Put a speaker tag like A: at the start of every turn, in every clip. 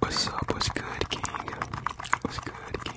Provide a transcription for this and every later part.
A: What's up? What's good, King? What's good, King?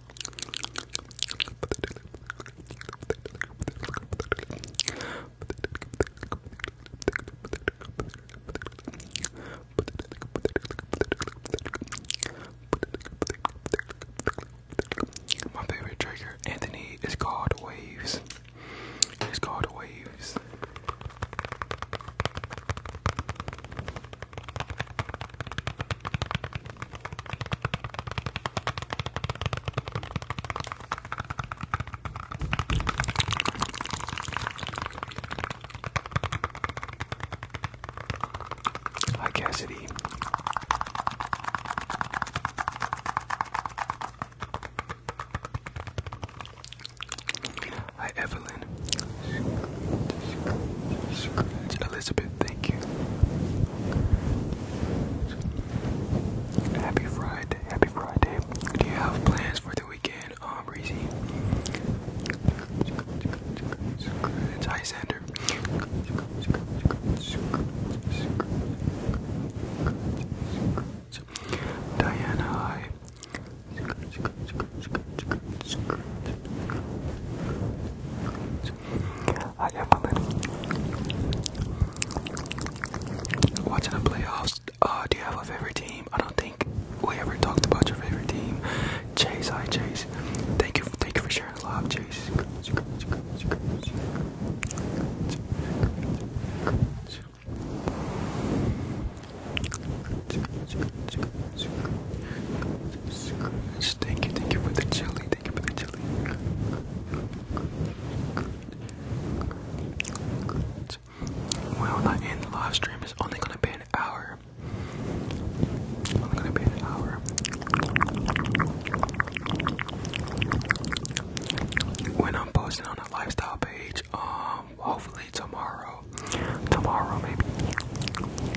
A: My favorite trigger, Anthony, is called Waves. It's called Waves. Hi, Cassidy. Hi, Evelyn. Elizabeth, thank you. Happy Friday, happy Friday. Do you have plans for the weekend, um, Breezy? Diana, I am a little watching the playoffs. Uh, do you have a favorite team? I don't think we ever talked about your favorite team. Chase, hi Chase. Thank you, thank you for sharing love, Chase. Thank you, thank you for the chili. Thank you for the chili. Well, that end the live stream is only gonna be an hour. Only gonna be an hour. When I'm posting on the lifestyle page, um, hopefully tomorrow, tomorrow maybe.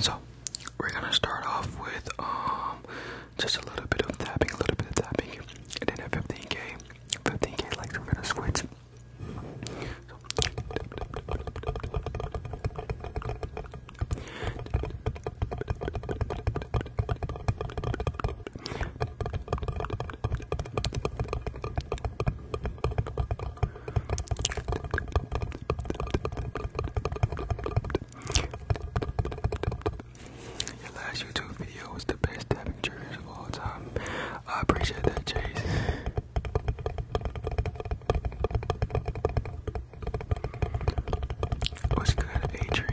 A: So, we're gonna start off with um just a little bit of tapping, a little bit of tapping, and then at 15k, 15k likes we're gonna switch. Your last YouTube video was the best tapping triggers of all time. I appreciate that, Chase. What's good, Adrian?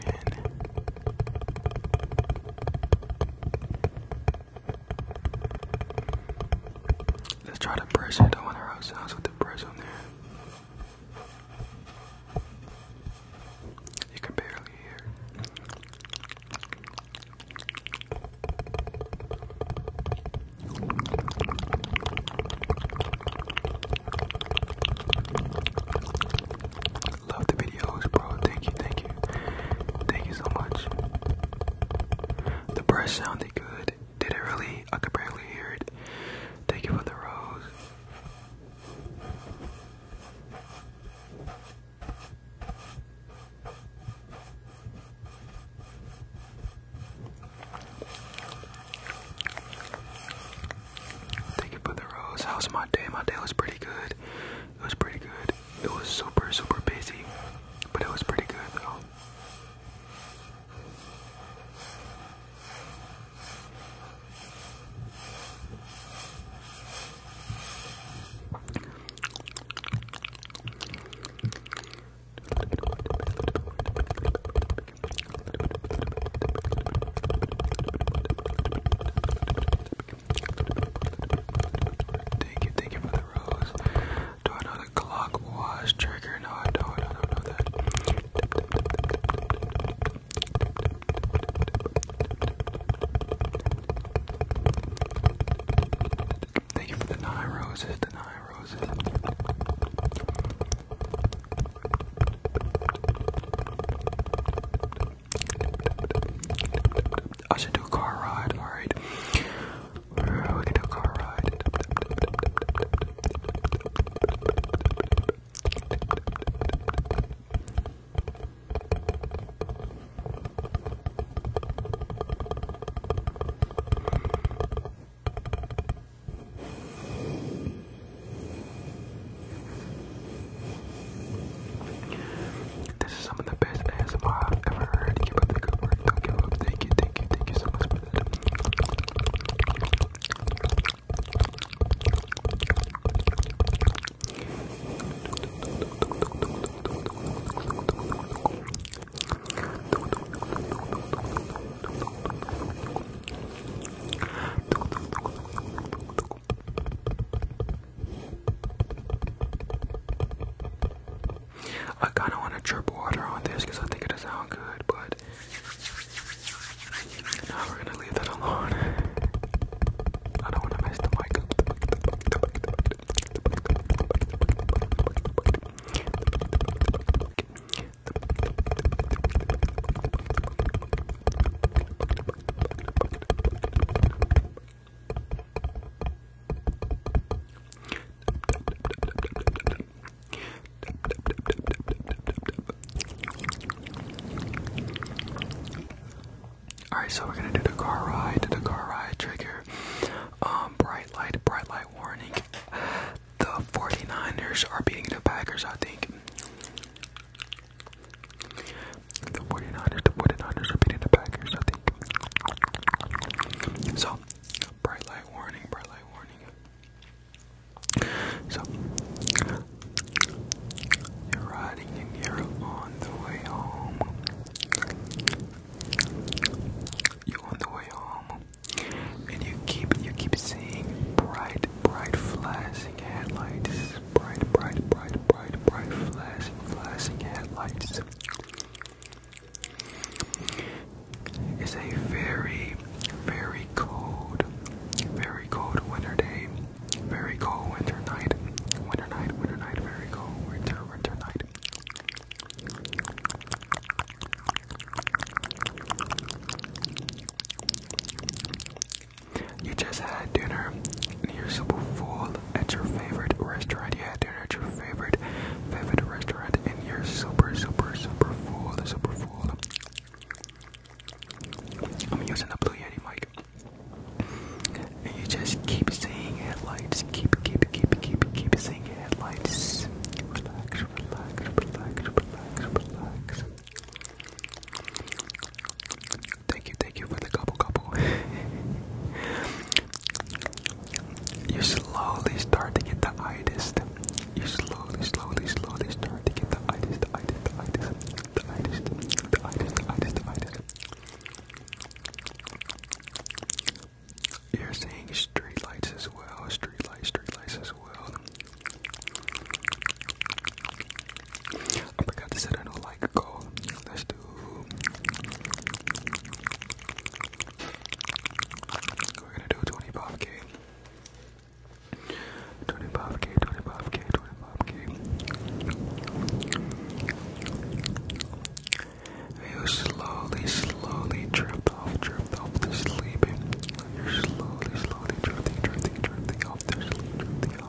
A: Let's try to brush it. I wonder how it sounds with the brush on there. You can barely hear. Love the videos, bro. Thank you, thank you. Thank you so much. The brush sounded good. Did it really? I could barely hear it. Thank you for the rose. Thank you for the rose. How's my day? My day was pretty good. It was pretty good. It was super, super busy, but it was pretty good though. Thank you, thank you for the rose. Do I know the clock was trigger? No, I don't. I don't know that. Thank you for the nine roses, the nine roses. I should do a car ride, alright. We can do a car ride. This is some of the best ASMR I've ever heard. Keep up the good work. Thank you, thank you, thank you so much I kind of want to drip water on this because I think it is will good, but now we're gonna leave that alone. I don't want to mess the mic Alright, so we're gonna do the car ride, the car ride trigger. Um, bright light, bright light warning. The 49ers are beating the Packers, I think. The 49ers, the 49ers are beating the Packers, I think. So, bright light warning, bright light warning. So, you're riding and you're on the way home. You're on the way home, and you keep you keep seeing bright, bright flash Bright, bright, bright, bright, bright, flashing, flashing headlights. It's a very, very cold, very cold winter day. Very cold winter night. Winter night, winter night, very cold winter, winter night. You just had dinner and you're super full at your favorite restaurant. You had dinner at your favorite, favorite restaurant and you're super, super, super full, super full. I'm using the Blue Yeti mic. And you just keep seeing headlights. Keep, keep, keep, keep, keep seeing headlights. Relax, relax, relax, relax, relax. Thank you, thank you for the couple couple. you slowly start to get the itis. You slowly, slowly, slowly start to get the itis, the itis, the itis, the itis, the itis, the itis, the itis, the itis. You're seeing street lights as well, street lights, street lights as well. I forgot to set a new like goal. Let's do. We're gonna do 25k. 25k, 25k, 25k. You slowly, slowly drift off, drift off to sleep. You're slowly, slowly drifting, drifting, drifting off to sleep, the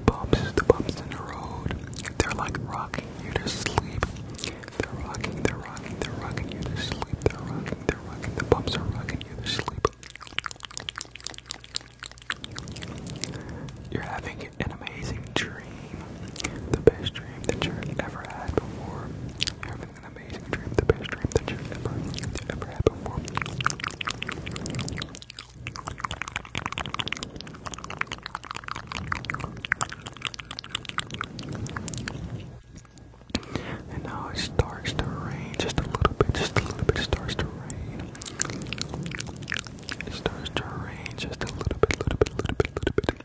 A: bumps, the bumps in the road, they're like rocking you to sleep. They're rocking, they're rocking, they're rocking you to sleep. They're rocking, they're rocking, the bumps are rocking you to sleep. You're having an amazing dream, the best dream that you've ever had before. having an amazing dream, the best dream that you've ever, ever had before. And now it starts to rain just a little bit, just a little bit, it starts to rain. It starts to rain just a little bit, little bit, little bit, little bit.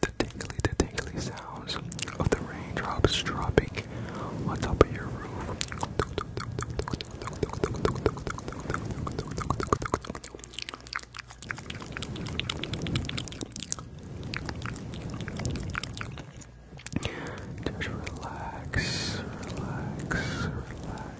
A: The tingly, the tingly sounds of the raindrops dropping on top of your roof. Just relax, relax, relax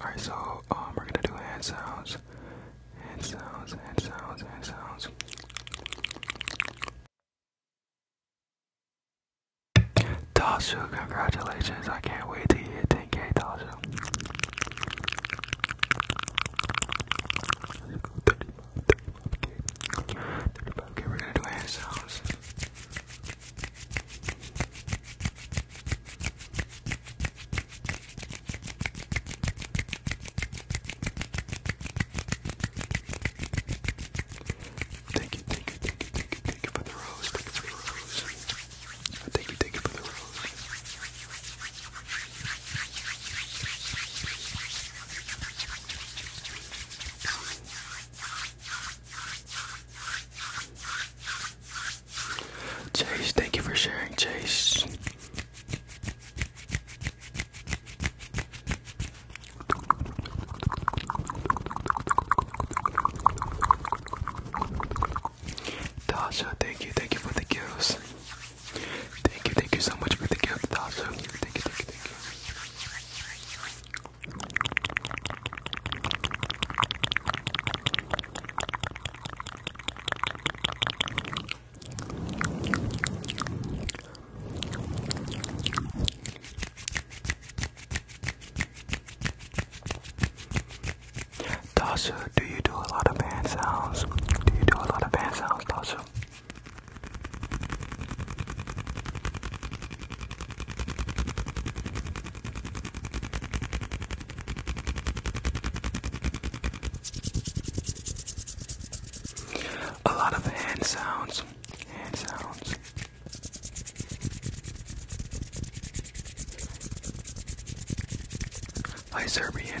A: Alright, so um, we're gonna do hand sounds. Hand sounds, hand sounds, hand sounds. Tasha, congratulations. I can't wait to hit 10k, Tasha. Let's we're gonna do hand sounds. Thank you, thank you, thank you, thank you, thank you for the rose. Thank you for the rose. Thank you, thank you for the rose. Chase, thank you for sharing, Chase. Tasha, thank you, thank you for the gifts. Thank you, thank you so much for the gift, Tasha. Thank you, thank you, thank you. Tasha, do you do a lot of band sounds? Do you do a lot of band sounds, Tasha? A lot of hand sounds, hand sounds. By Serbian.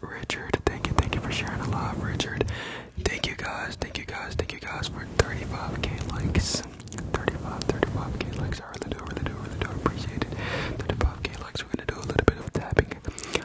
A: Richard, thank you, thank you for sharing a lot, Richard. Thank you guys, thank you guys, thank you guys for 35k likes. 35, 35k likes. I really do, really do, really do appreciate it. 35k likes. We're gonna do a little bit of tapping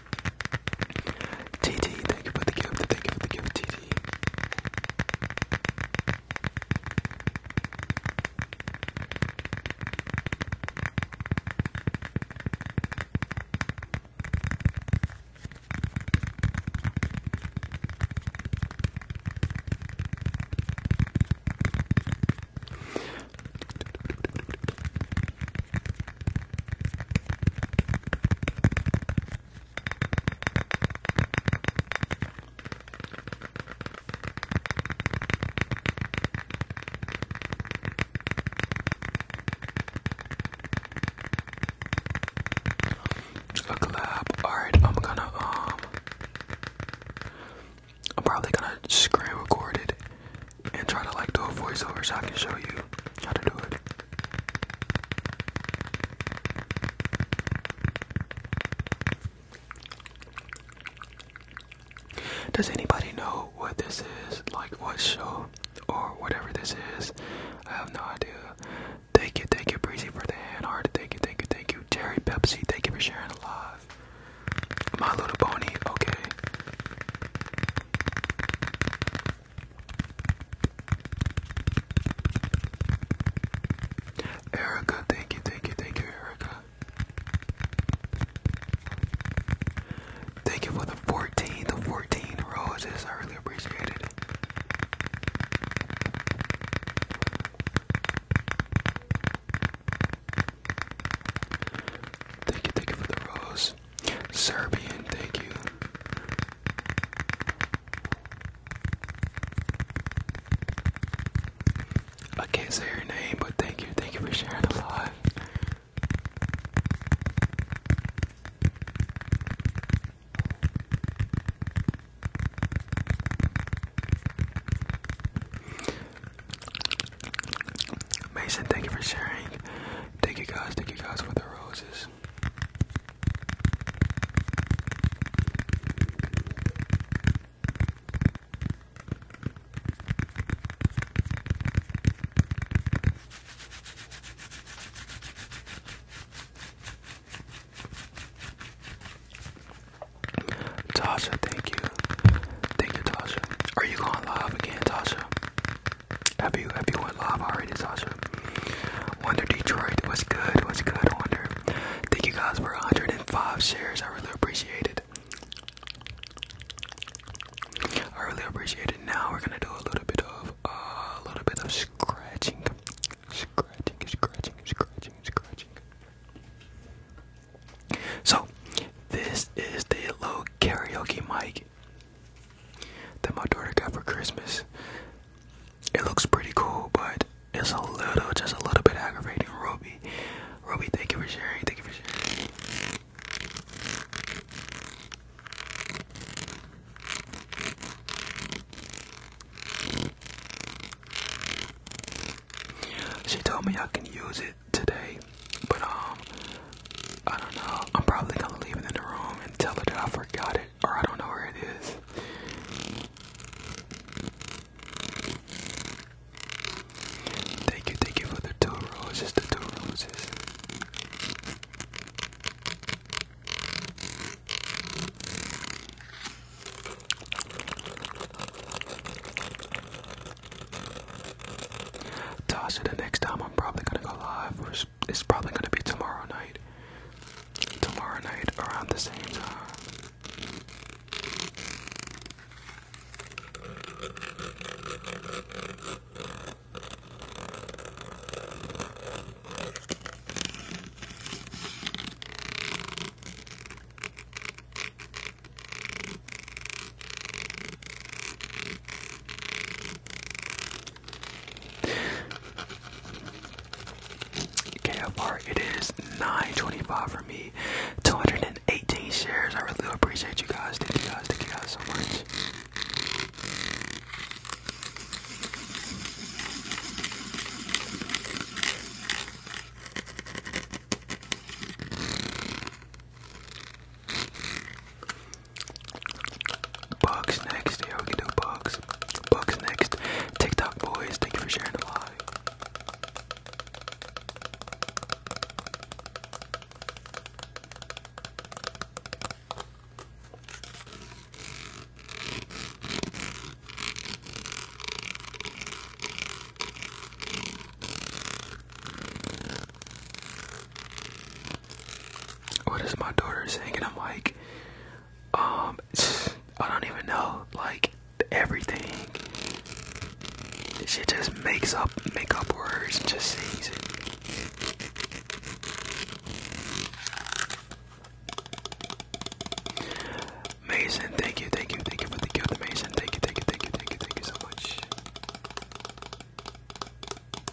A: TT, thank you for the gift, thank you for the gift, TT. A collab. Alright, I'm gonna um I'm probably gonna screen record it and try to like do a voiceover so I can show you how to do it. Does anybody know what this is? Like what show or whatever this is? I have no idea. Thank you, thank you, Breezy for the hand heart. Thank you, thank you, thank you. Terry Pepsi, thank you for sharing a lot. My little pony, okay. Erica, thank you, thank you, thank you, Erica. Thank you for the 14, the 14 roses. I really appreciate it. Thank you, thank you for the rose. Serbian, thank you. I can't say her name, but thank you, thank you for sharing a lot. Mason, thank you for sharing. Thank you guys, thank you guys for the roses. Tasha, thank you. Thank you, Tasha. Are you going live again, Tasha? Have you, have you went live already? It's awesome. Wonder Detroit, what's good? What's good, Wonder? Thank you guys for 105 shares. I really appreciate it. I really appreciate it. Now we're gonna do a little bit of uh, a little bit of scratching, scratching, scratching, scratching, scratching. So this is the low karaoke mic that my daughter got for Christmas. It looks pretty cool, but it's a little, just a little bit aggravating. Ruby, Ruby, thank you for sharing. Thank you for sharing. She told me I can use it today, but um, I don't know. I'm probably gonna leave it in the room and tell her that I forgot it, or I don't know where it is. Thank you, thank you for the two roses, the two roses. Tasha, the next time I'm probably gonna go live, it's probably gonna be tomorrow night. Tomorrow night around the same time. KFR, it is 925 for me. 218 shares. I really appreciate you guys. Thank you guys. Thank you guys so much. Bugs next. Yeah, we can do bugs. Bugs next. TikTok boys, thank you for sharing the live. What is my daughter saying? And I'm like, um, I don't even know. Like everything, she just makes up, make up words, and just sings it. Mason, thank you, thank you, thank you for the gift, Mason. Thank you, thank you, thank you, thank you, thank you so much.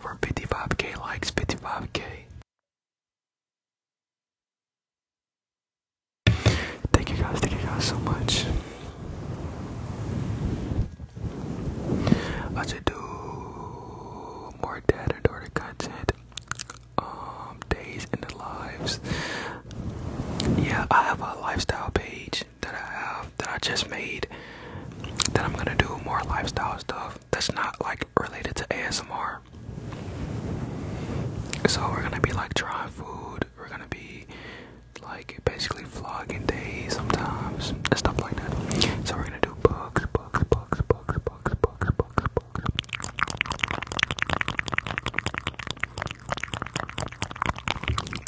A: for 55k likes, 55k. Thank you guys, thank you guys so much. I should do more dad and daughter content, um, days in the lives. Yeah, I have a lifestyle page page that I have that I just made that I'm gonna do more lifestyle stuff that's not like related to ASMR. So we're gonna be like trying food, we're gonna be like basically vlogging days sometimes and stuff like that. So we're gonna do books, books, books, books, books, books, books, books.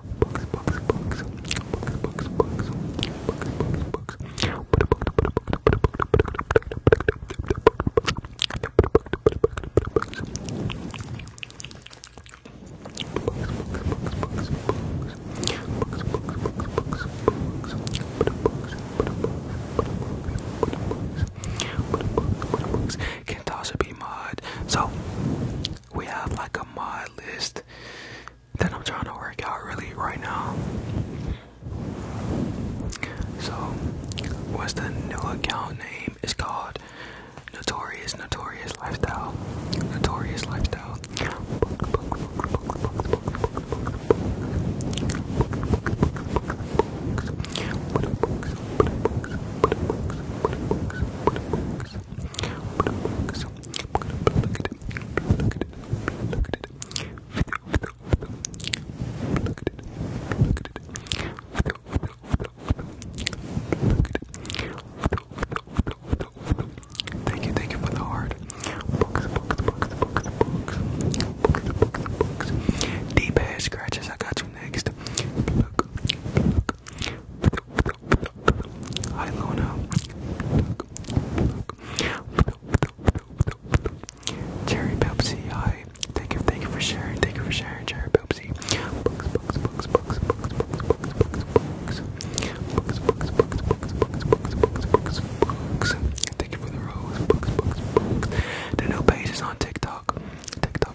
A: books, books, books, books, books, books, books, books, books. Can also be mod. So we have like a mod list that I'm trying to work out really right now. So, what's the new account name? It's called Notorious Notorious Lifestyle. Notorious Lifestyle. Thank you, thank you for the heart. Deep head scratches, I got you next. Hi, Luna. Cherry Pepsi, hi. Thank you, thank you for sharing. Thank you for sharing, Cherry Pepsi. Books, books, books, books, books, books, books, books, books. Books, books, books, books, books, books, books, Thank you for the rose. The new page is on TikTok. TikTok.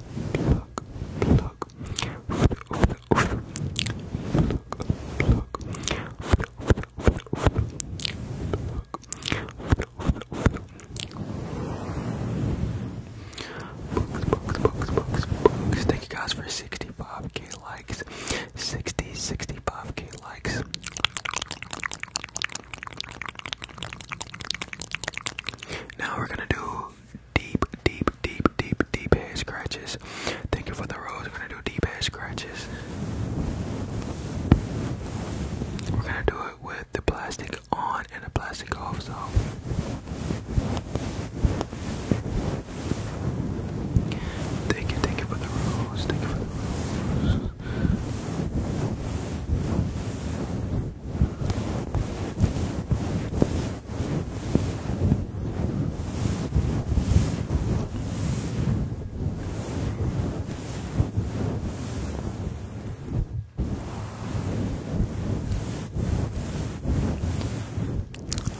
A: pluck, pluck, Books, books, books, books. Thank you guys for 65k likes. 60, 65k likes. Now we're gonna do deep, deep, deep, deep, deep head scratches. Thank you for the rose. We're gonna do deep head scratches. We're gonna do it with the plastic on and the plastic off. So thank you, thank you for the rose. Thank you for the rose.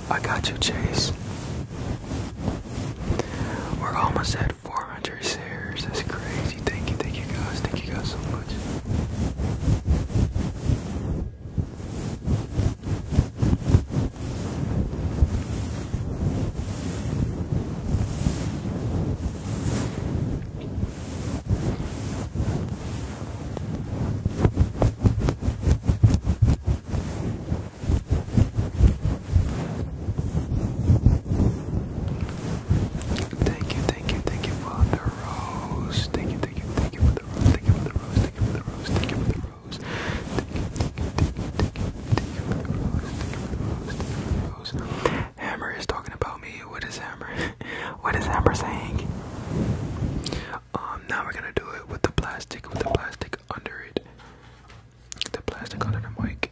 A: I got you, Chase. We're almost at 400 stairs, That's crazy thank you, thank you guys, thank you guys so much. Thank you, Thank you, thank you for the rose. Thank you, thank you, thank you for the rose. Thank you for the rose. Thank you for the rose. Thank you for the rose. Hammer is talking about me. What is Hammer? what is Hammer saying? Um, now we're gonna do it with the plastic, with the plastic under it. The plastic under the mic.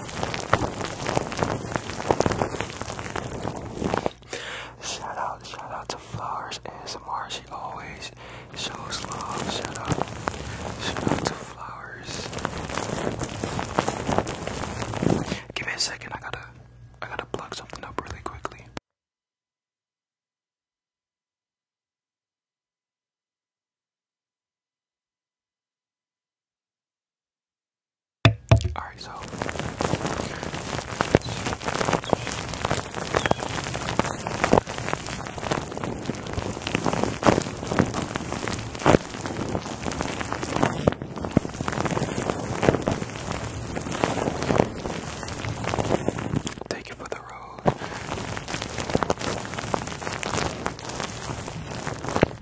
A: Shout out, shout out to Flowers ASMR. Marshy. always shows love. Shout out, shout out to Flowers. Give me a second. I gotta, I gotta plug something up really quickly. Alright, so. Thank you for the rose.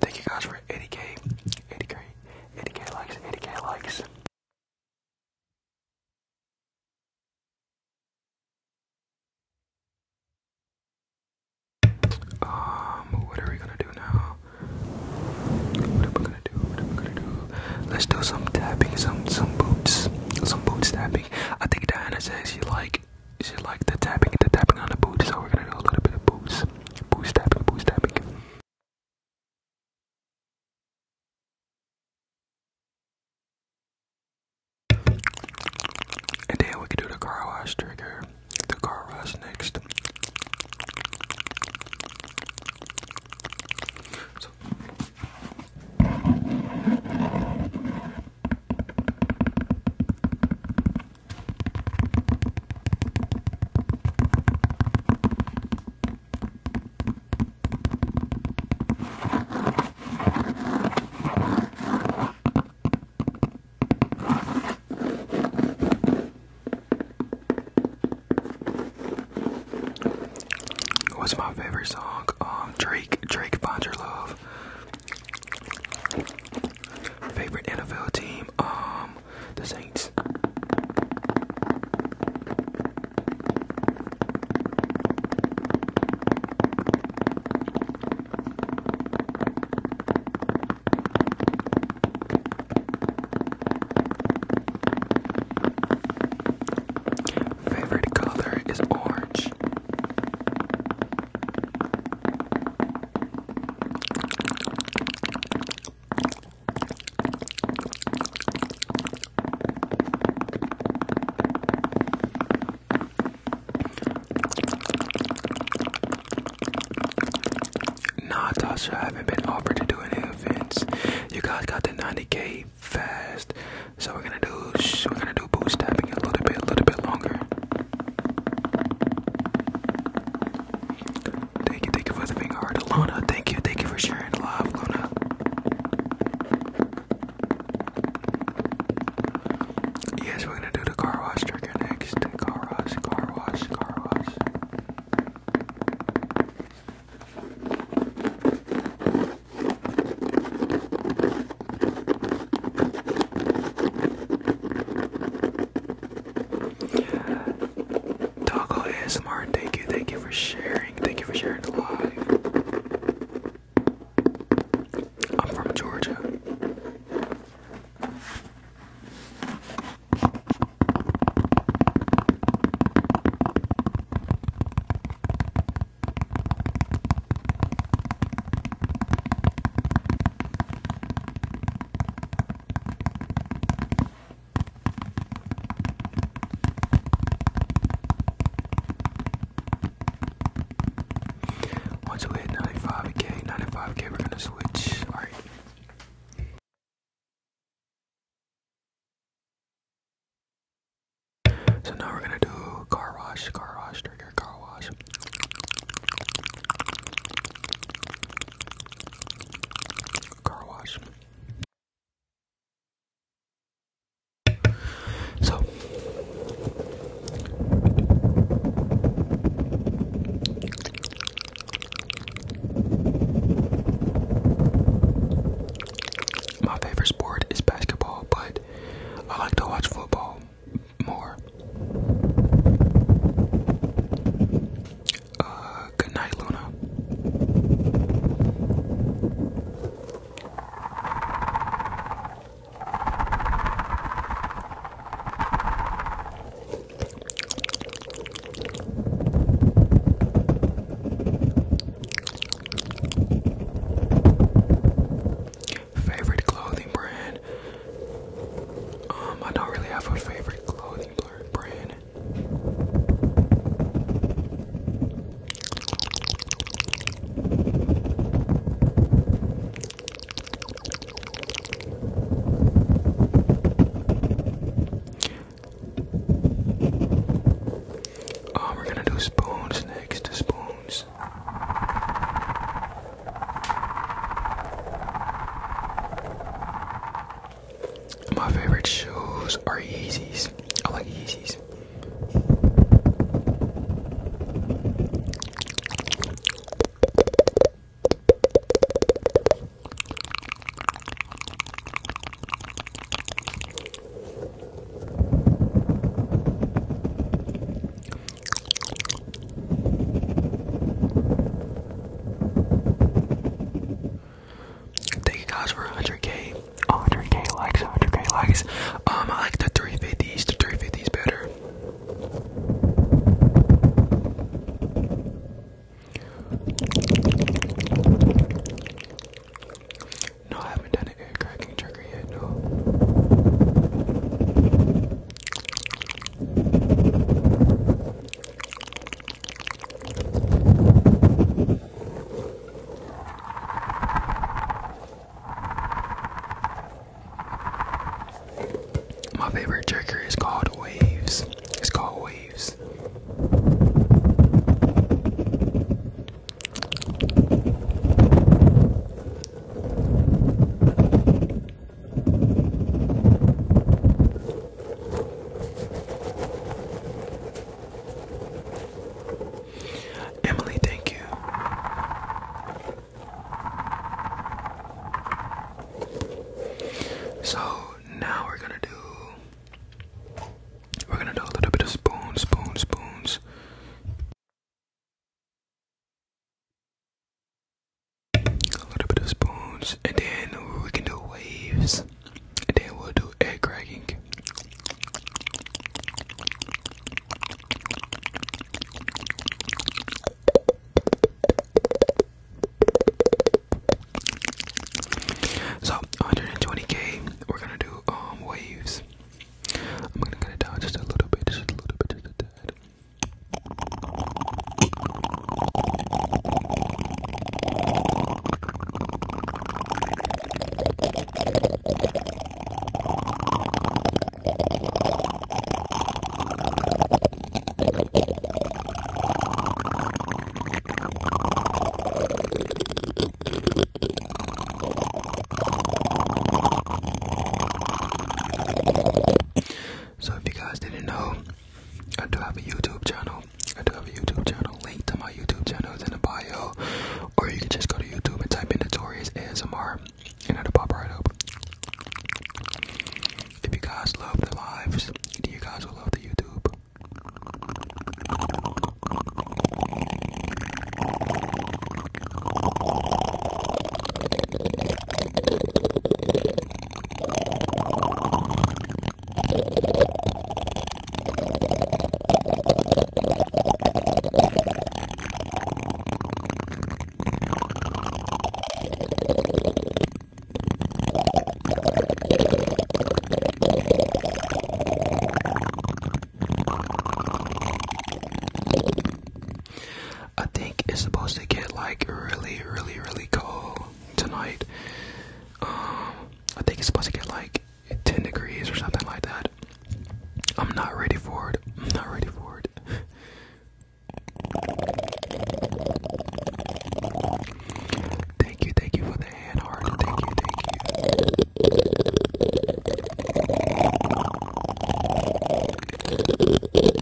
A: Thank you guys for 80k, 80k, 80k likes, 80k likes. Um, what are we gonna do now? What am I gonna do? What am I gonna do? Let's do some tapping, some some boots, some boots tapping. I think Diana says she like she like the tapping, the tapping on the boots, so we're gonna do a little bit of boots, boots tapping, boots tapping. And then we can do the car wash trigger. The car wash next. What's my favorite song? Um, Drake, Drake, Find Love. Favorite NFL team? Um, the Saints. Favorite color is orange. Nah, Tasha, I haven't been offered to do any events. You guys got the 90k fast, so we're gonna do we're gonna do boost tapping a little bit, a little bit longer. Thank you, thank you for the finger heart, Luna. Thank you, thank you for sharing the love, Luna. Yes, we're gonna do the car wash trigger next. Car wash, car wash, car wash. Doggo ASMR, thank you, thank you for sharing, thank you for sharing the live. I'm from Georgia. Once we hit 95k, 95k, we're gonna switch. Alright. So now we're gonna do car wash, car wash, trigger, car wash. Car wash. So my favorite sport is basketball, but I like to watch football more. Uh, good night, Luna. Favorite clothing brand? Um, I don't really have a favorite clothing brand. Oh, we're gonna do spoons next. Spoons. My favorite shoes are Yeezys. I like Yeezys. Thank you guys for 100k, 100k likes, 100k likes. Um, I like the 350s, the 350s better. No, I haven't done an air cracking trigger yet, no. My favorite trigger is called Waves. It's called Waves. Emily, thank you. So now we're gonna do we're gonna do a little bit of spoons, spoons, spoons. A little bit of spoons, and then we can do waves and then we'll do egg cracking. So 120k, we're gonna do um, waves. I'm gonna cut it down just a little bit, just a little bit, just a tad. So if you guys didn't know, I do have a YouTube channel. I do have a YouTube channel. Link to my YouTube channel is in the bio. Or you can just go to YouTube and type in Notorious ASMR and it'll pop right up. If you guys love the lives, then you guys will love the YouTube. I think it's supposed to get like really, really, really cold tonight. Um, I think it's supposed to get like 10 degrees or something like that. I'm not ready for it. I'm not ready for it. thank you, thank you for the hand heart. Thank you, thank you.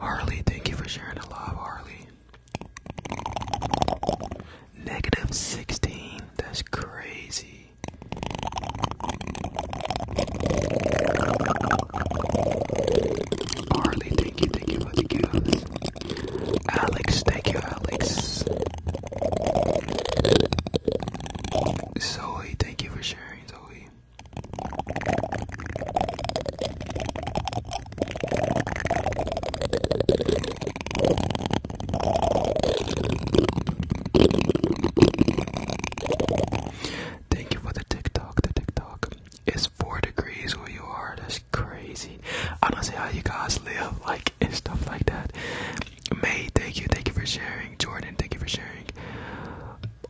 A: Harley, thank you for sharing the love, Harley. Negative 16. That's crazy. Harley, thank you, thank you for the gifts. Alex, thank you, Alex. Zoe, thank you for sharing, Zoe. Thank you for the TikTok. The TikTok is four degrees where you are. That's crazy. I don't see how you guys live like and stuff like that. May, thank you, thank you for sharing. Jordan, thank you for sharing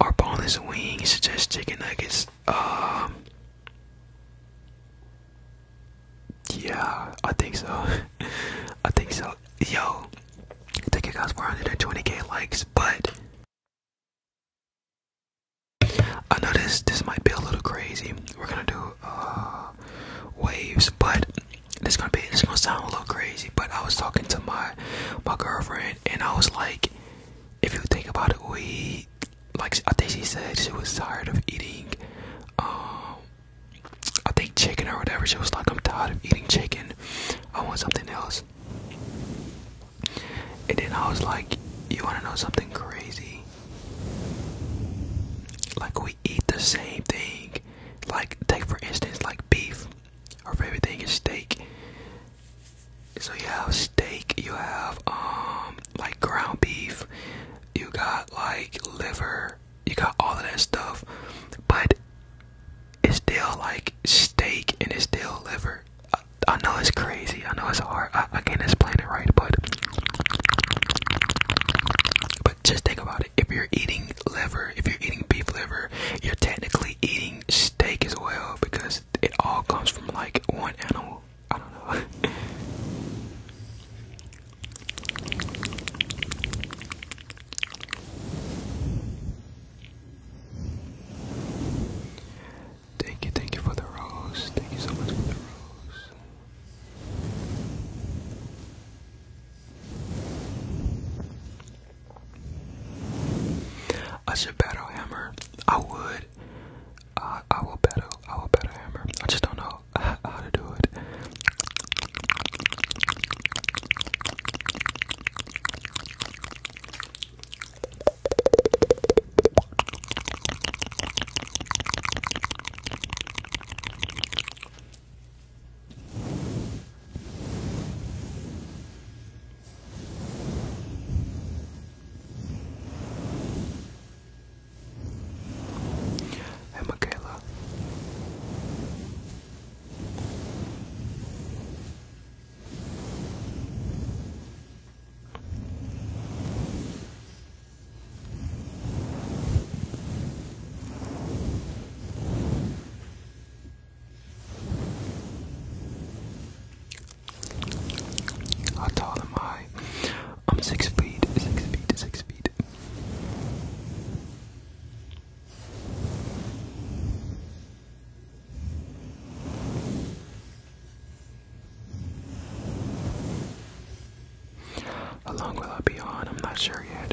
A: our bonus wing suggests chicken nuggets. Um, yeah, I think so. I think so. Yo, thank you guys for 120k likes, but I know this this might be a little crazy. We're gonna do uh waves, but it's gonna be it's gonna sound a little crazy. But I was talking to my my girlfriend, and I was like, if you think about it, we like I think she said she was tired of eating, um, I think chicken or whatever. She was like, I'm tired of eating chicken. I want something else. And then I was like, you want to know something crazy? Like we eat the same thing. Like take for instance, like beef. Our favorite thing is steak. So you have steak, you have um like ground beef, you got like liver, you got all of that stuff, but it's still like steak and it's still liver. I, know it's crazy, I know it's hard, I, I can't explain it right, but but just think about it. If you're eating liver, if you're eating beef liver, you're technically eating steak as well because it all comes from like one animal. I don't know. Thank you, thank you for the rose. Thank you so much for the rose. A battle hammer. I would. Uh, I will battle. I will battle hammer. I just don't know how to do it. Hey, Michaela. How tall am I? I'm six feet, six feet, six feet. How long will I be on? I'm not sure yet.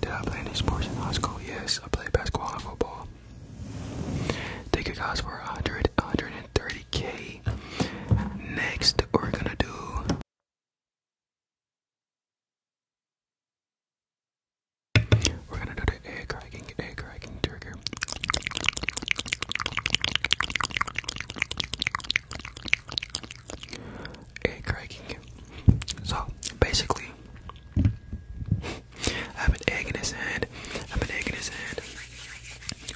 A: Did I play any sports in high school? Yes, I played basketball and football. They could cost for 100, 130k. Next, we're gonna do. We're gonna do the egg cracking, egg cracking trigger. Egg cracking. So basically, I have an egg in his hand. I have an egg in his hand.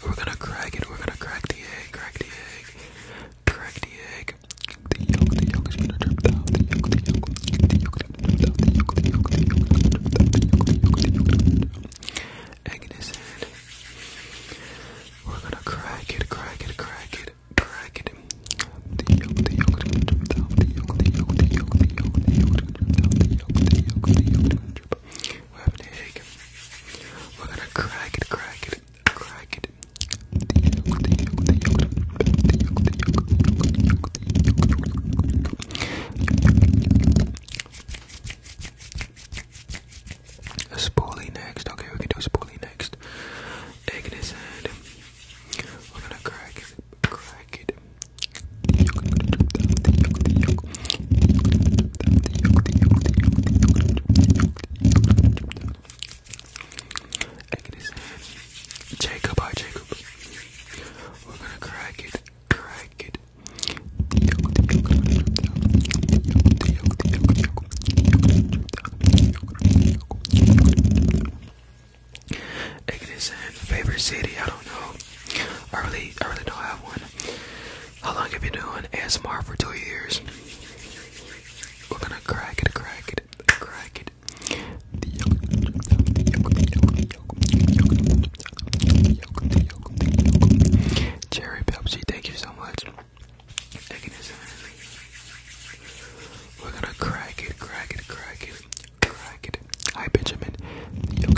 A: We're gonna crack it. We're gonna crack the egg. Crack the egg. Crack the egg. The yolk. The yolk is gonna drip down. The yolk. The yolk. The yolk. The yolk. The yolk. The yolk. The yolk. The yolk. The yolk. The yolk. The yolk. The yolk. Egg in his hand. We're gonna crack it. Crack it. Crack it. Crack it. The yolk. The yolk is gonna drip down. The yolk. The yolk. The yolk. The yolk. The yolk. We're having a headache. We're gonna crack it, crack it, crack it. A spoolie next. Okay, we can do a spoolie next. Egg in his hand. We're gonna crack it, crack it, Jacob, hi Jacob. We're gonna crack it, crack it. Ignis and favorite city, I don't know. I really I really don't have one. How long have you been doing ASMR for two years? We're gonna crack it, crack it, crack it. Cherry Pepsi, thank you so much. We're gonna crack it, crack it, crack it. Crack it. Hi, Benjamin. Name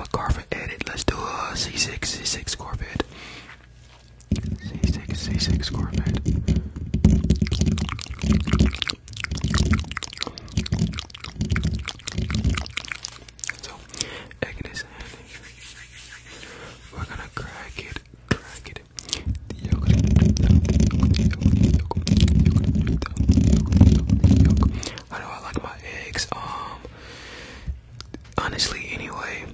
A: a Corvette edit. Let's do a C6, C6 Corvette. C6, C6 Corvette. So, egg We're gonna crack it, crack it, yogurt, the I like my eggs? Um, honestly, anyway,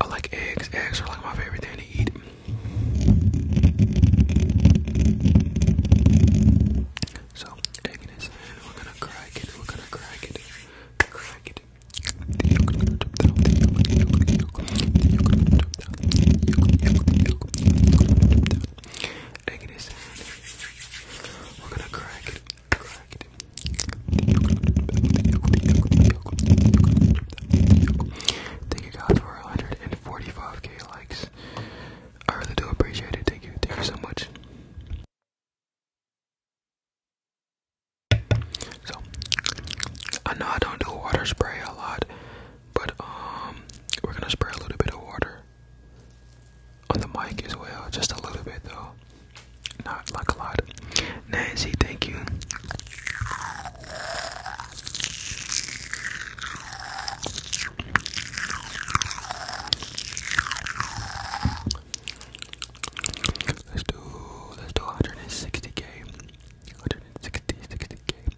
A: I like eggs. Eggs are like my favorite thing to eat. So, egg we're gonna crack it, we're gonna crack it, crack it. Take this. We're gonna crack it. Crack it. Thank you guys for 145k likes. I really do appreciate it. Thank you. Thank you so much. So I know I don't do water spray a lot, but um, we're gonna spray a little bit of water on the mic as well, just a little bit though, not like a lot. Nancy, thank you. Let's do let's do 160k. 160, 60k.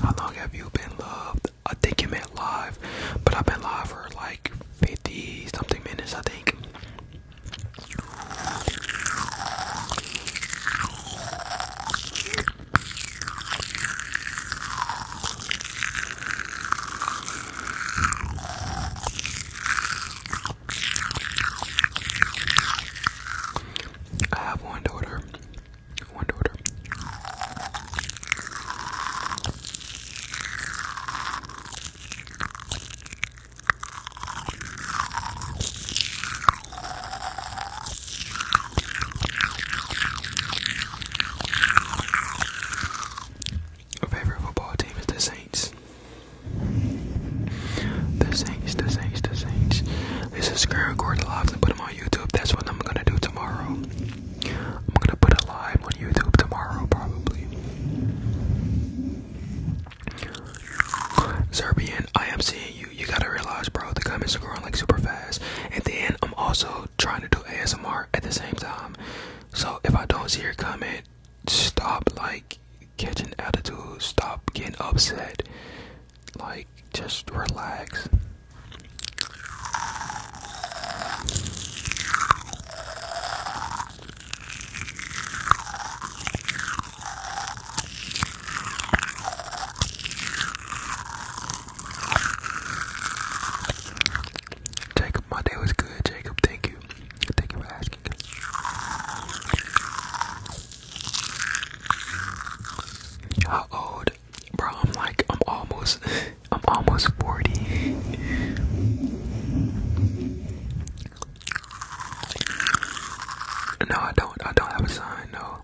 A: How long have you been loved? I think you meant live, but I've been live for like 50 something minutes, I think. I have one daughter. One order. My favorite football team is the Saints. The Saints, the Saints, the Saints. They subscribe, record the put them on YouTube. That's what I'm gonna do tomorrow. I'm gonna put a live on YouTube tomorrow, probably. Serbian, I am seeing you. You gotta realize, bro, the comments are growing like super fast. And then I'm also trying to do ASMR at the same time. So if I don't see your comment, stop like catching attitude, stop getting upset like just relax. Jacob, my day was good. Jacob, thank you. Thank you for asking. How old bro. I'm like, I'm almost, I'm almost forty. No, I don't. I don't have a sign. No.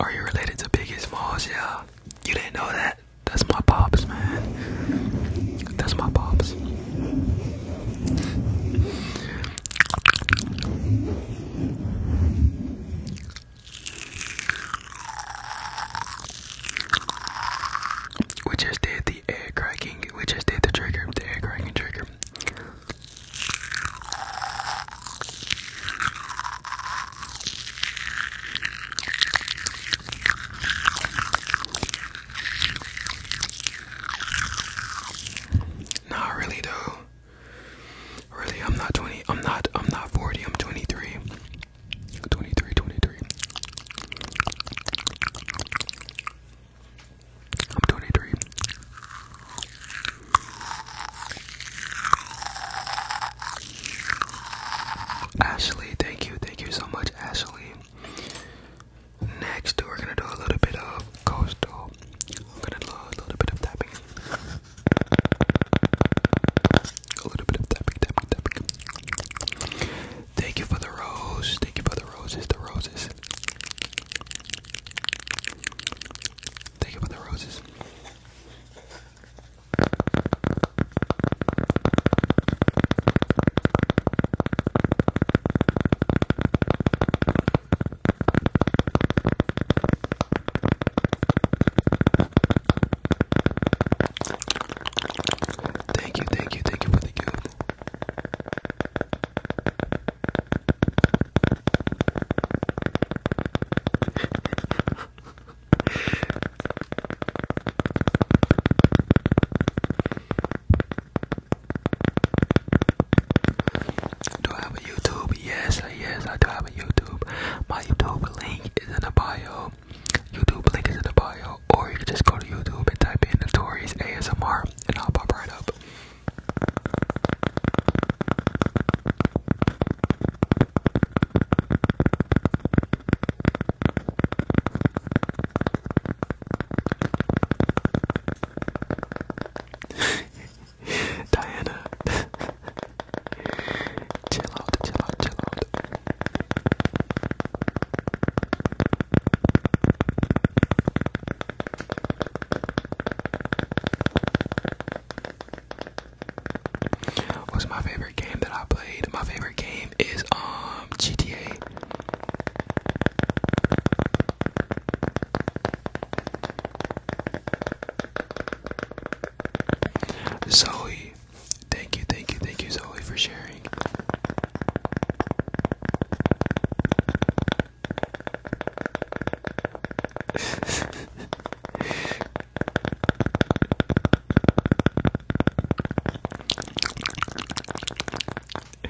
A: Are you related to Biggie Smalls? Yeah. You didn't know that? That's my pops, man. That's my pops. We just did the egg cracking. We just did the trigger, the egg cracking trigger. Not really though. Really, I'm not 20. I'm not. I'm not 40. I'm 23. 23, 23. I'm 23. Ashley, thank you, thank you so much, Ashley. Next, we're gonna do a little bit of coastal. We're gonna do a little bit of tapping. A little bit of tapping, tapping, tapping. Thank you for the roses. Thank you for the roses, the roses. Thank you for the roses. Thank you, thank you, thank you for the gift. Do I have a YouTube? Yes, yes, I do have a YouTube. My YouTube link is in the bio. YouTube link is in the bio, or you can just go to YouTube and type in Notorious ASMR, and I'll pop right up. Diana Chill out, chill out, chill out. What's my favorite game that I played? My favorite game is um GTA. Zoe, thank you, thank you, thank you, Zoe, for sharing.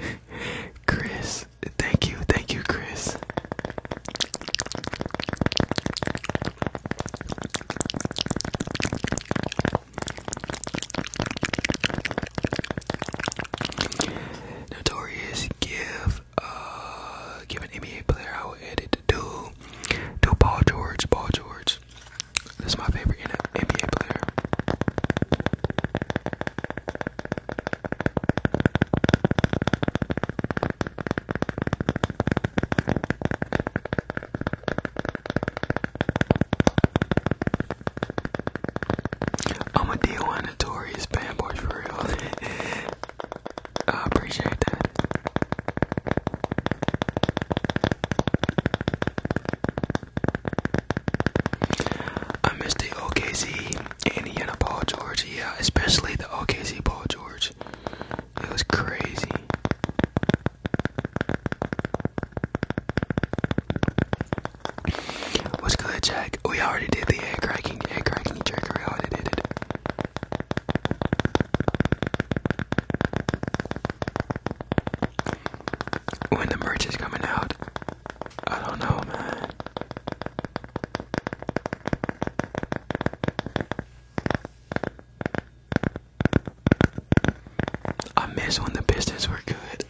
A: Chris, thank you, thank you, Chris. Notorious give uh give an NBA player how will edit do do Paul George, Paul George. This is my favorite NBA player. I'm a D1 notorious fanboy for real. I appreciate that. I missed the OKC and Indiana Paul George, yeah, especially the OKC Paul George. It was crazy. What's good, Jack? We already did the egg cracking, egg cracking trick. We already did it. When the merch is coming out, I don't know, man. I miss when the Pistons were good.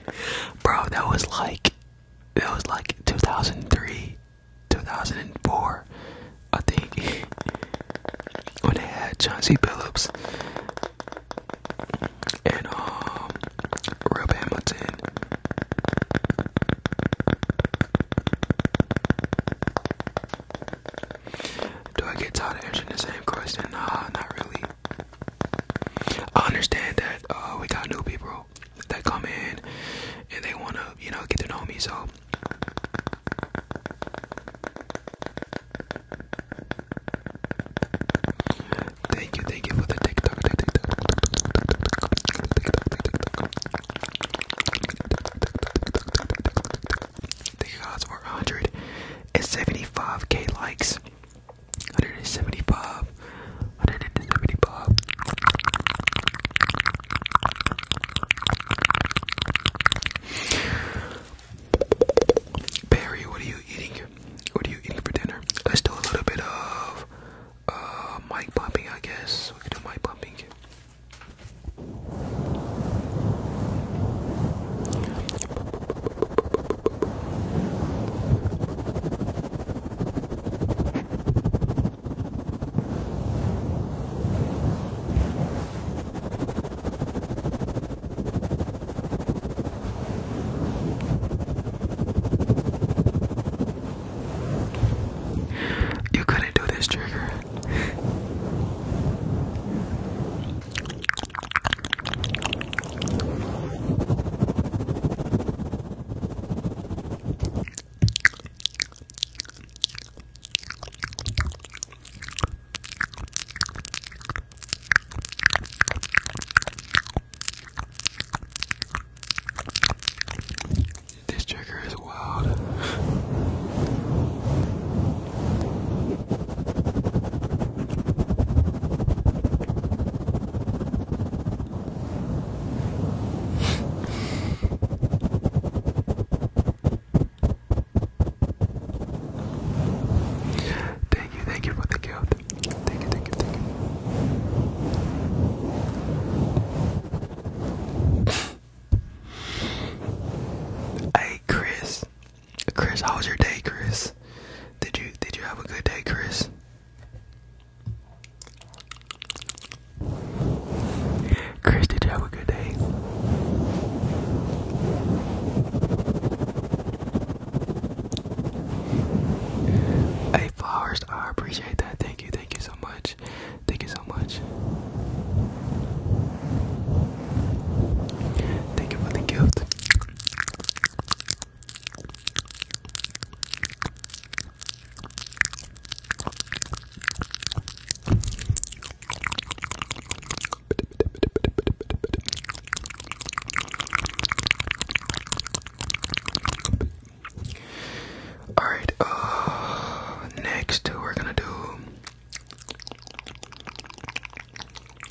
A: Bro, that was like that was like 2003, 2004, I think. when they had Chauncey Billups and um Rip Hamilton. Do I get tired of answering the same question? Nah, not really. I understand that uh, we got new people that come in and they want to, you know, get to know me. So thank you, thank you for the TikTok. The you guys 175k likes. 175. 175. Barry, what are you eating? What are you eating for dinner? Let's a little bit of uh, mic bumping, I guess. We can do mic bumping. You couldn't do this trigger. This trigger is is thank you, thank you for the gift. Thank you, thank you, thank you. Hey Chris. Chris, how was your day, Chris? Did you did you have a good day, Chris? Chris, did you have a good day? Hey Flowers, I appreciate that. Thank you, thank you so much. Thank you so much. Thank you for the gift. All right, uh, next we're gonna do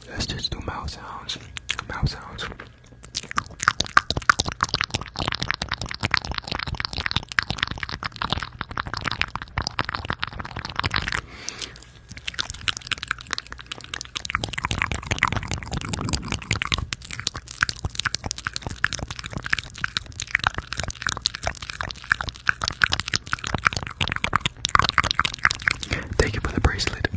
A: Let's just do mouth sounds. Mouth sounds. Take it for the bracelet.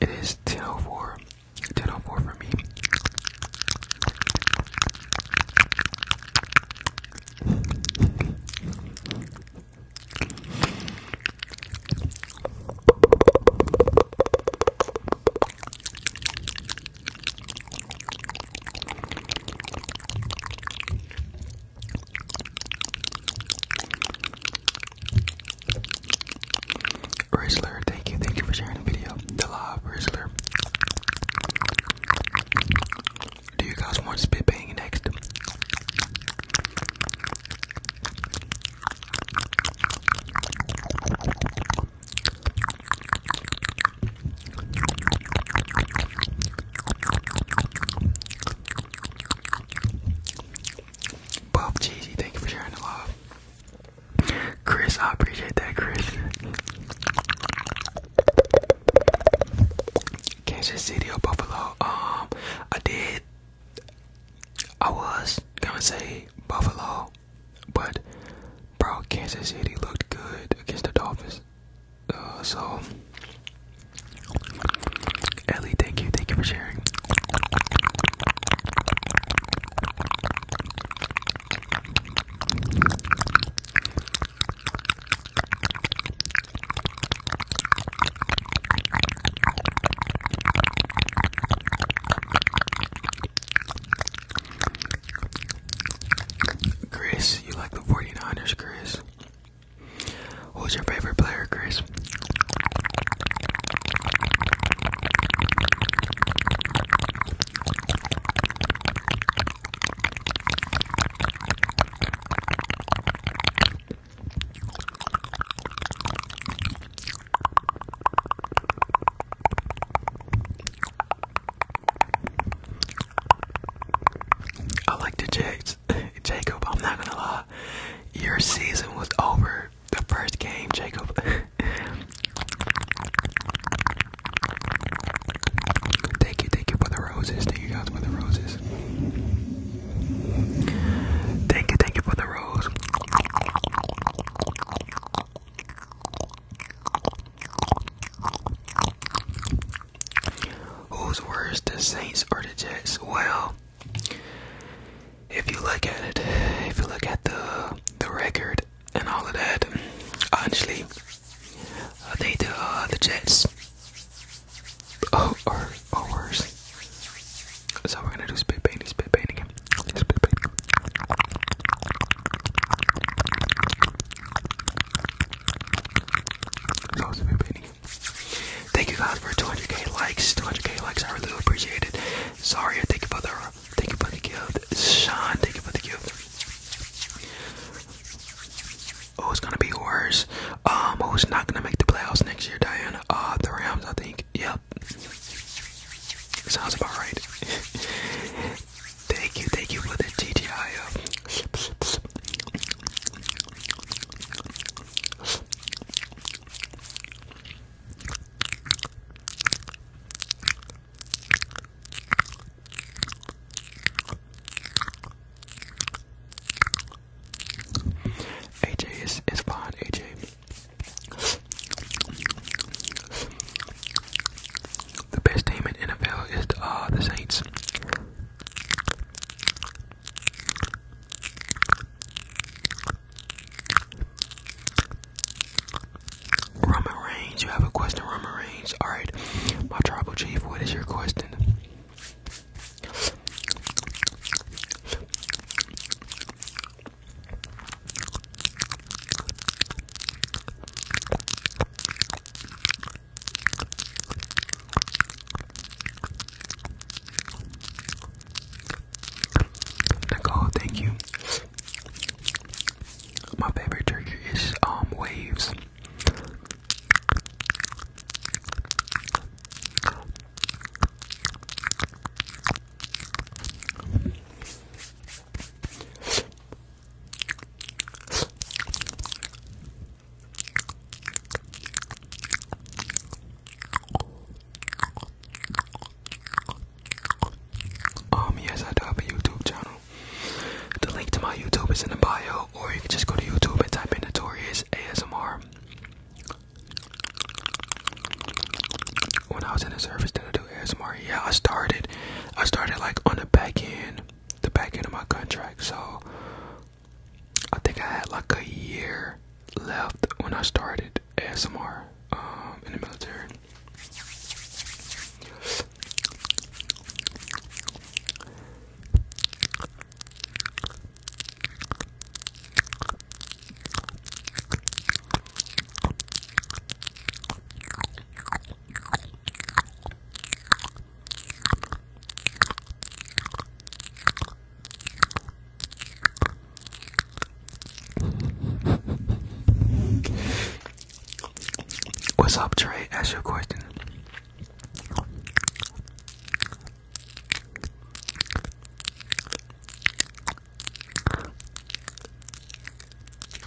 A: It is 104, 104 for me. Rizzler, thank you, thank you for sharing the video. The live Rizzler. Do you guys want spit bang next? Bob Cheesy, thank you for sharing the love. Chris, I appreciate that, Chris. Kansas City or Buffalo? Um, I did I was gonna say Buffalo, but bro, Kansas City looked good against the Dolphins. Uh, so, Ellie, thank you, thank you for sharing. Chris, you like the 49ers, Chris? Who's your favorite player, Chris? I like the Jags. Jacob, I'm not gonna lie. Your season was over the first game, Jacob. thank you, thank you for the roses. Thank you guys for the roses. Thank you, thank you for the rose. Who's worse, the Saints or the Jets? Well, if you look at it, if you look at the the record and all of that, honestly, I the uh, the Jets are, oh, are worse. So we're gonna do spit painting, spit painting, spit spit painting. Thank you God, for 200k likes, 200k likes. are really appreciated. Sorry, thank you for the, thank you for the gift. Sean, thank you for the gift. Oh, it's gonna be worse. Um, who's not gonna make the playoffs next year? Diana. Uh, the Rams, I think. Yep. Sounds about right. thank you, thank you for the TTIO. Uh, AJ is is fine, AJ. The best team in NFL is the, uh, the Saints. Roman Reigns, you have a question, Roman Reigns. Alright, my tribal chief, what is your question? Nicole, thank you. My favorite trigger is um waves. Um, yes, I do have a YouTube channel. The link to my YouTube is in the bio, or you can just go to YouTube and type in Notorious ASMR. When I was in the service, did I do ASMR? Yeah, I started. I started like on the back end, the back end of my contract. So I think I had like a year left when I started ASMR um, in the military. What's up, Trey? Ask your question.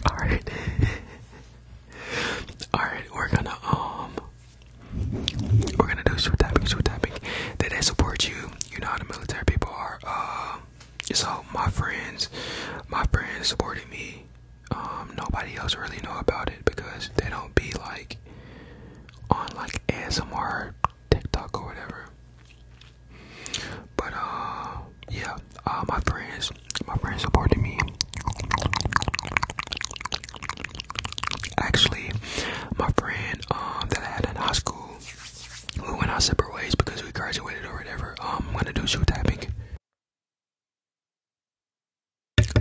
A: Alright. Alright, we're gonna um we're gonna do super tapping, super tapping. They did support you. You know how the military people are. Um so my friends my friends supporting me. Um nobody else really know about it because they don't be like on like ASMR TikTok or whatever. But uh, yeah, uh, my friends, my friends supporting me. Actually, my friend um that I had in high school, we went our separate ways because we graduated or whatever. Um, I'm gonna do shoe tapping.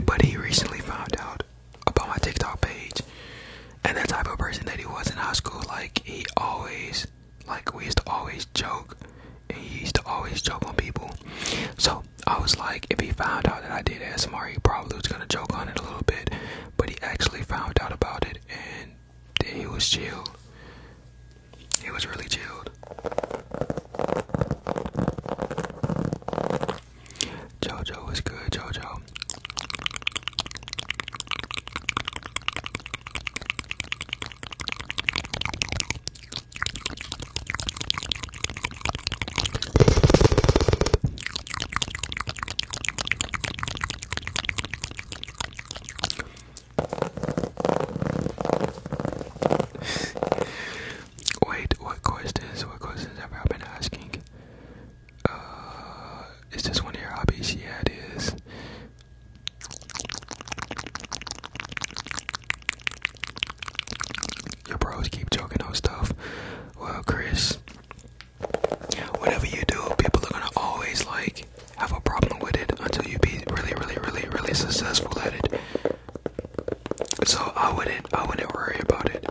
A: But he recently found out about my TikTok page, and the type of person that he was in high school, like he always, like we used to always joke, and he used to always joke on people. So I was like, if he found out that I did smr, he probably was gonna joke on it a little bit. But he actually found out about it, and he was chilled. He was really chilled. Jojo was good, Jojo. Wait, what questions? What questions have I been asking? Uh, is this one of your hobbies? Yeah, it is. Your bros keep joking on stuff. Well, Chris, whatever you do, people are gonna always like have a problem with it until you be really, really, really, really successful at it. So I wouldn't, I wouldn't worry about it.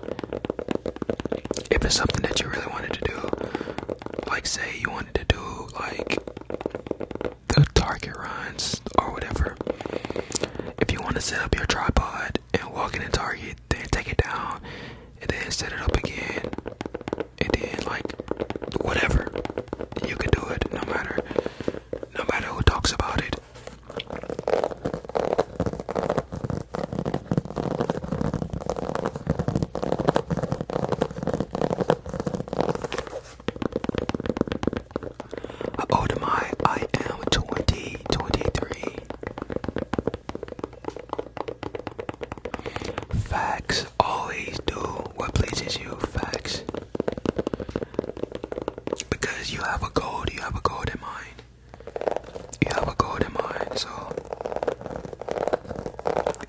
A: If it's something that you really wanted to do, like say you wanted to do like the target runs or whatever if you want to set up your tripod and walk in the target then take it down and then set it up again and then like whatever you can do it no matter no matter who talks about it Oh to I am 20, 23. Facts always do what pleases you, facts. Because you have a goal, you have a goal mind. You have a goal mind, so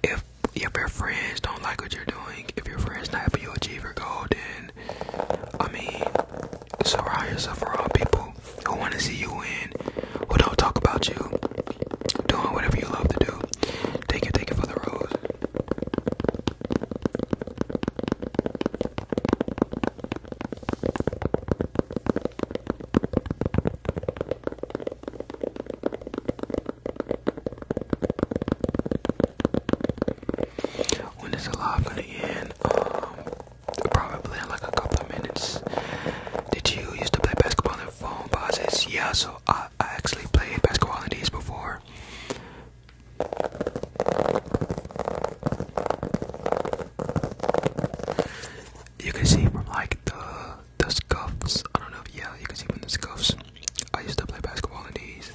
A: if if your friends don't like what you're doing, if your friends not helping you achieve your goal, then I mean, surround yourself around people who want to see you win, who don't talk about you, doing whatever you love to do. Take it, take it for the road. When is the live gonna end? Um, probably in like a couple minutes. Did you used to play basketball in phone pauses? Yeah, so I, I actually played basketball in these before. You can see from like the the scuffs. I don't know if yeah, you can see them the scuffs. I used to play basketball in these.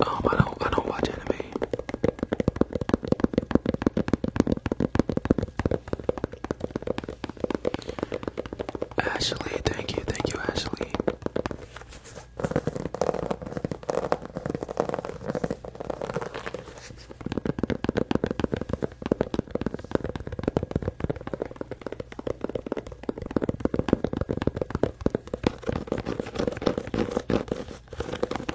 A: Um, I don't, I don't watch Ashley, thank you, thank you, Ashley.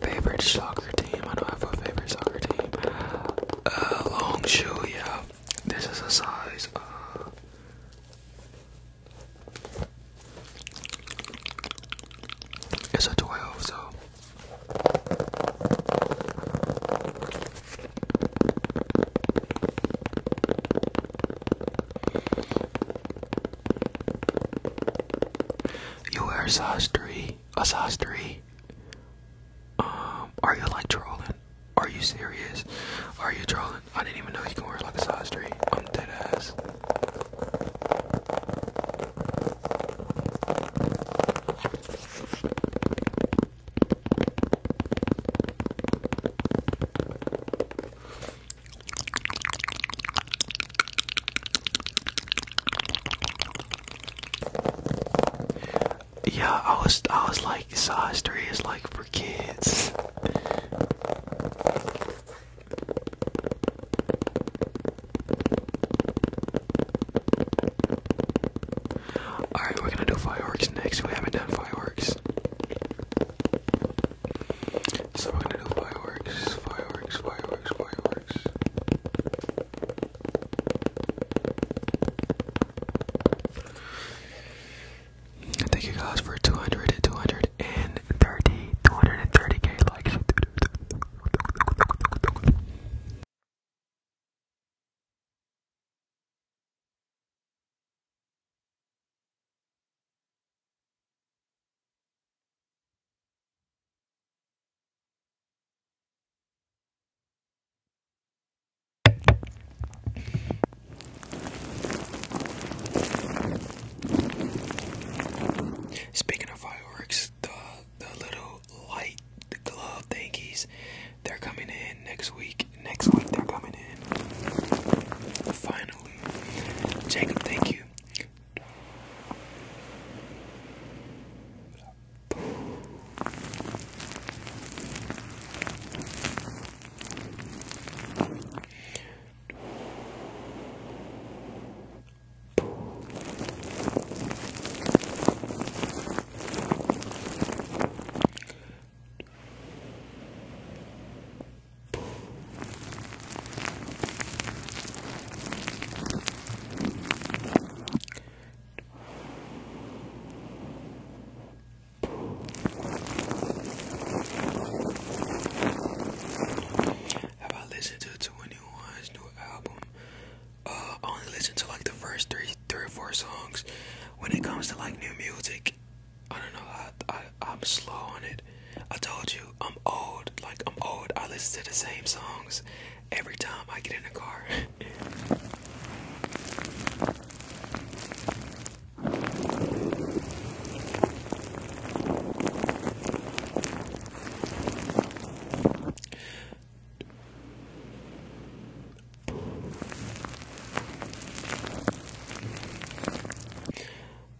A: Favorite soccer team? I don't have a favorite soccer team. Uh, long shoe, yeah. This is a size. Uh, it's a 12, so. You wear a size three, a size three. Um, are you like trolling? Are you serious? Are you trolling? I didn't even know you could wear like a size three. I'm dead ass. Yeah, I was I was like size three is like for kids. Alright, we're gonna do fireworks next. We haven't done fireworks. So I'm gonna do fireworks, fireworks, fireworks, fireworks. Thank you guys for 200, 230, 230k likes. Speaking of fireworks, the the little light the glove thingies, they're coming in next week. Next week they're coming in. Finally. Jacob, thank you. Have I listened to 21's new album? Uh, only listen to like the first three, three or four songs. When it comes to like new music, I don't know. I, I am slow on it. I told you I'm old. Like I'm old. I listen to the same songs every time I get in the car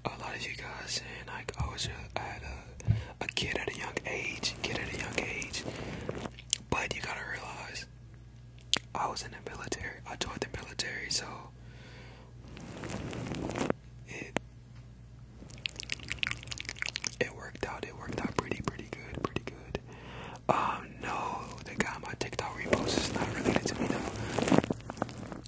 A: a lot of you guys and like, oh, it's a, I had a, a kid at a young age, kid at a young age. But you gotta realize, I was in the military. I joined the military, so it it worked out. It worked out pretty, pretty good, pretty good. Um, no, the guy my TikTok repost is not related to me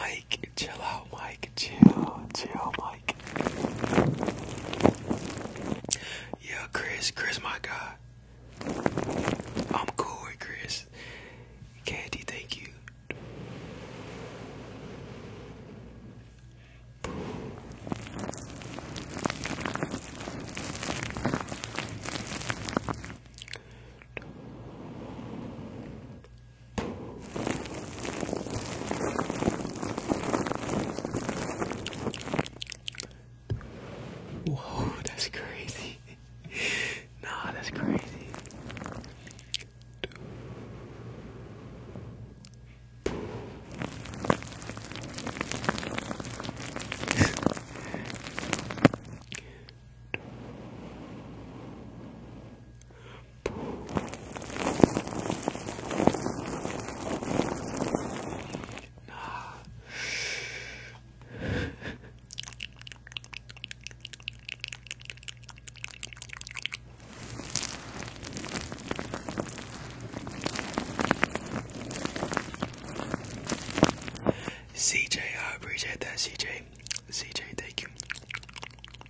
A: Mike, Chill out, Mike. Chill, chill, Mike. Yeah, Chris. Chris, my guy. I'm cool with Chris. Candy, thank you. Whoa, that's crazy. nah, that's crazy. CJ, I appreciate that, CJ. CJ, thank you. Uh,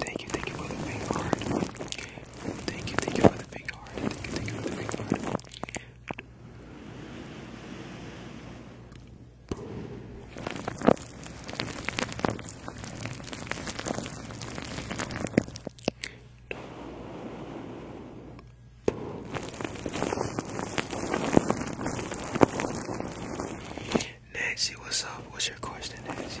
A: thank you, thank you for the faint heart. Thank you, thank you for the big heart. Thank you, thank you for the big heart. Nancy, what's up? What's your question, Nancy?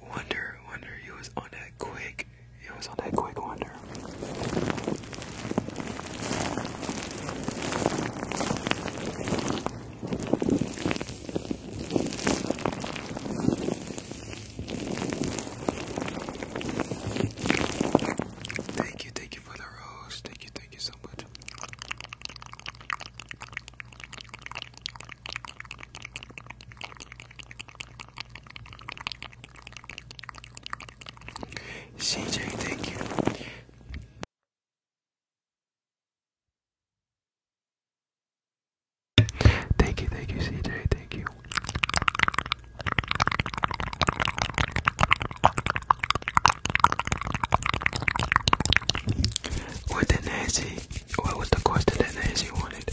A: Wonder, wonder, he was on that quick. He was on that quick wonder. Thank you, thank you for the rose. Thank you, thank you so much. CJ, thank you. Thank you, thank you, CJ, thank you. What did Nancy? What was the question that Nancy wanted?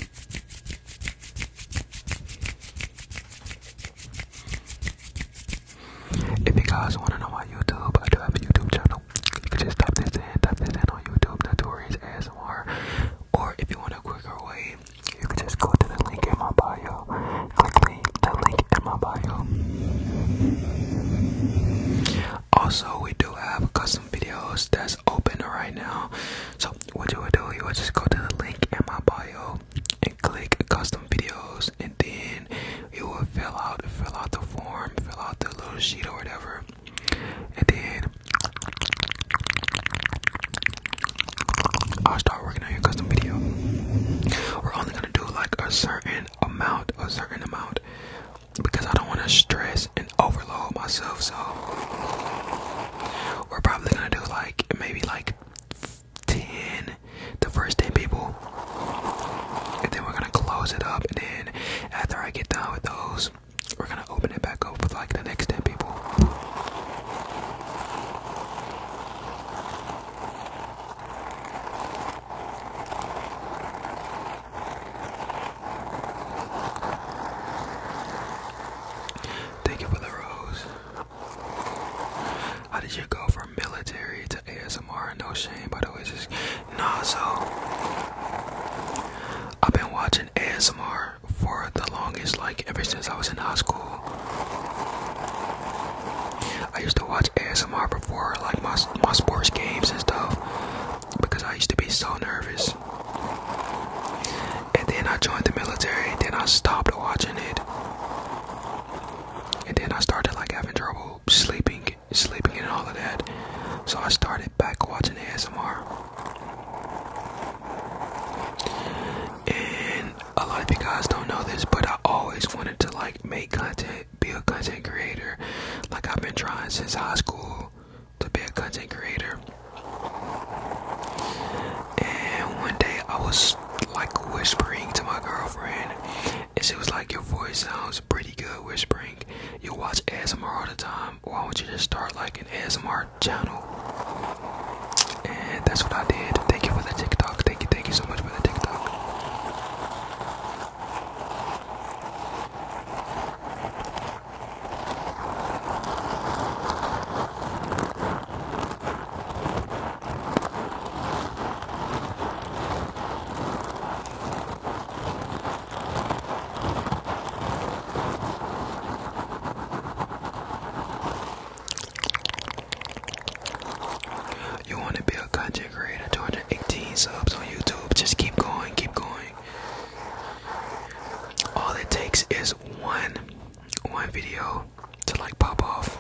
A: If you guys want to know my YouTube, I do have a YouTube channel. You can just type this in, type this in on YouTube, Notorious Or if you want a quicker way, you can just go to the link in my bio. Click the link in my bio. Also, we do have custom videos that's open right now. So, what you would do, you would just go to the link in my bio and click custom videos, and then you will fill out, fill out the form, fill out the little sheet or whatever, and then I'll start working on your custom video. We're only gonna do like a certain amount, a certain amount, because I don't want to stress and overload myself. So we're probably gonna do like maybe like ten, the first ten people, and then we're gonna close it up. And then after I get done with those, we're gonna open it back up with like the next 10 people. Thank you for the rose. How did you go from military to ASMR? No shame, by the way. Just, nah, so I've been watching ASMR for the longest, like ever since I was in high school. I used to watch ASMR before like my my sports games and stuff because I used to be so nervous. And then I joined the military, and then I stopped watching it. And then I started like having trouble sleeping, sleeping and all of that. So I started back watching ASMR. And a lot of you guys don't know this, but I always wanted to like make content, be a content creator. Like I've been trying since high school to be a content creator. And one day I was like whispering to my girlfriend, and she was like, Your voice sounds pretty good whispering. You watch ASMR all the time why um, don't you just start like an ASMR channel? And that's what I did. Thank you for the TikTok. Thank you, thank you so much for the TikTok. You want to be a content creator? 218 subs on YouTube. Just keep going, keep going. All it takes is one, one video to like pop off.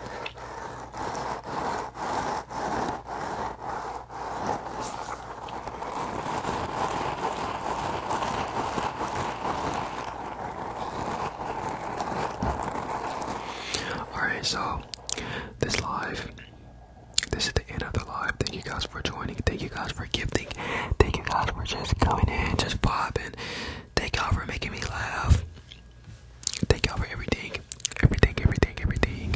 A: Alright, so this live, this is the end of the live. Thank you guys for joining. Thank you guys for gifting. Thank you guys for just coming in, just popping. Thank y'all for making me laugh. Thank y'all for everything. Everything, everything, everything.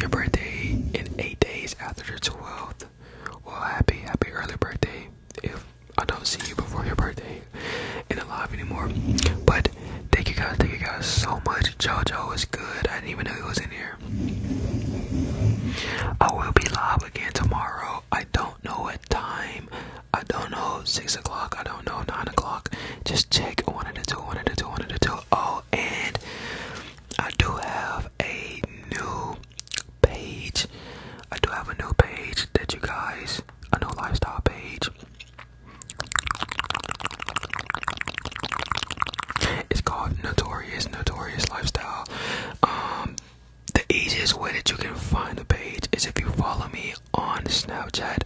A: Your birthday in eight days after the 12th. Well, happy, happy early birthday. If I don't see you before your birthday in the live anymore. But thank you guys, thank you guys so much. JoJo is good. I didn't even know he was in here. I will be live again tomorrow. I don't know what time. I don't know six o'clock. I don't know nine o'clock. Just check one of the two, one of the two, one of the two. Oh, and I do have a new page. I do have a new page that you guys, a new lifestyle page. It's called Notorious Notorious Lifestyle. Um, the easiest way that you can find the page is if you follow me on Snapchat.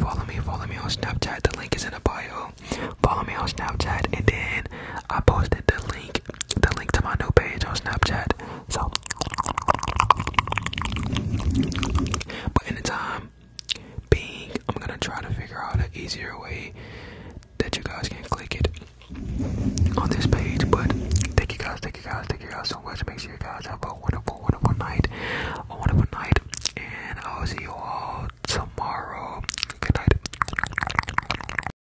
A: Follow me, follow me on Snapchat. The link is in the bio. Follow me on Snapchat, and then I posted the link the link to my new page on Snapchat. So, but in the time being, I'm gonna try to figure out an easier way that you guys can click it on this page. But thank you guys, thank you guys, thank you guys so much. Make sure you guys have a wonderful, wonderful night, a wonderful night, and I'll see you all tomorrow. Good night.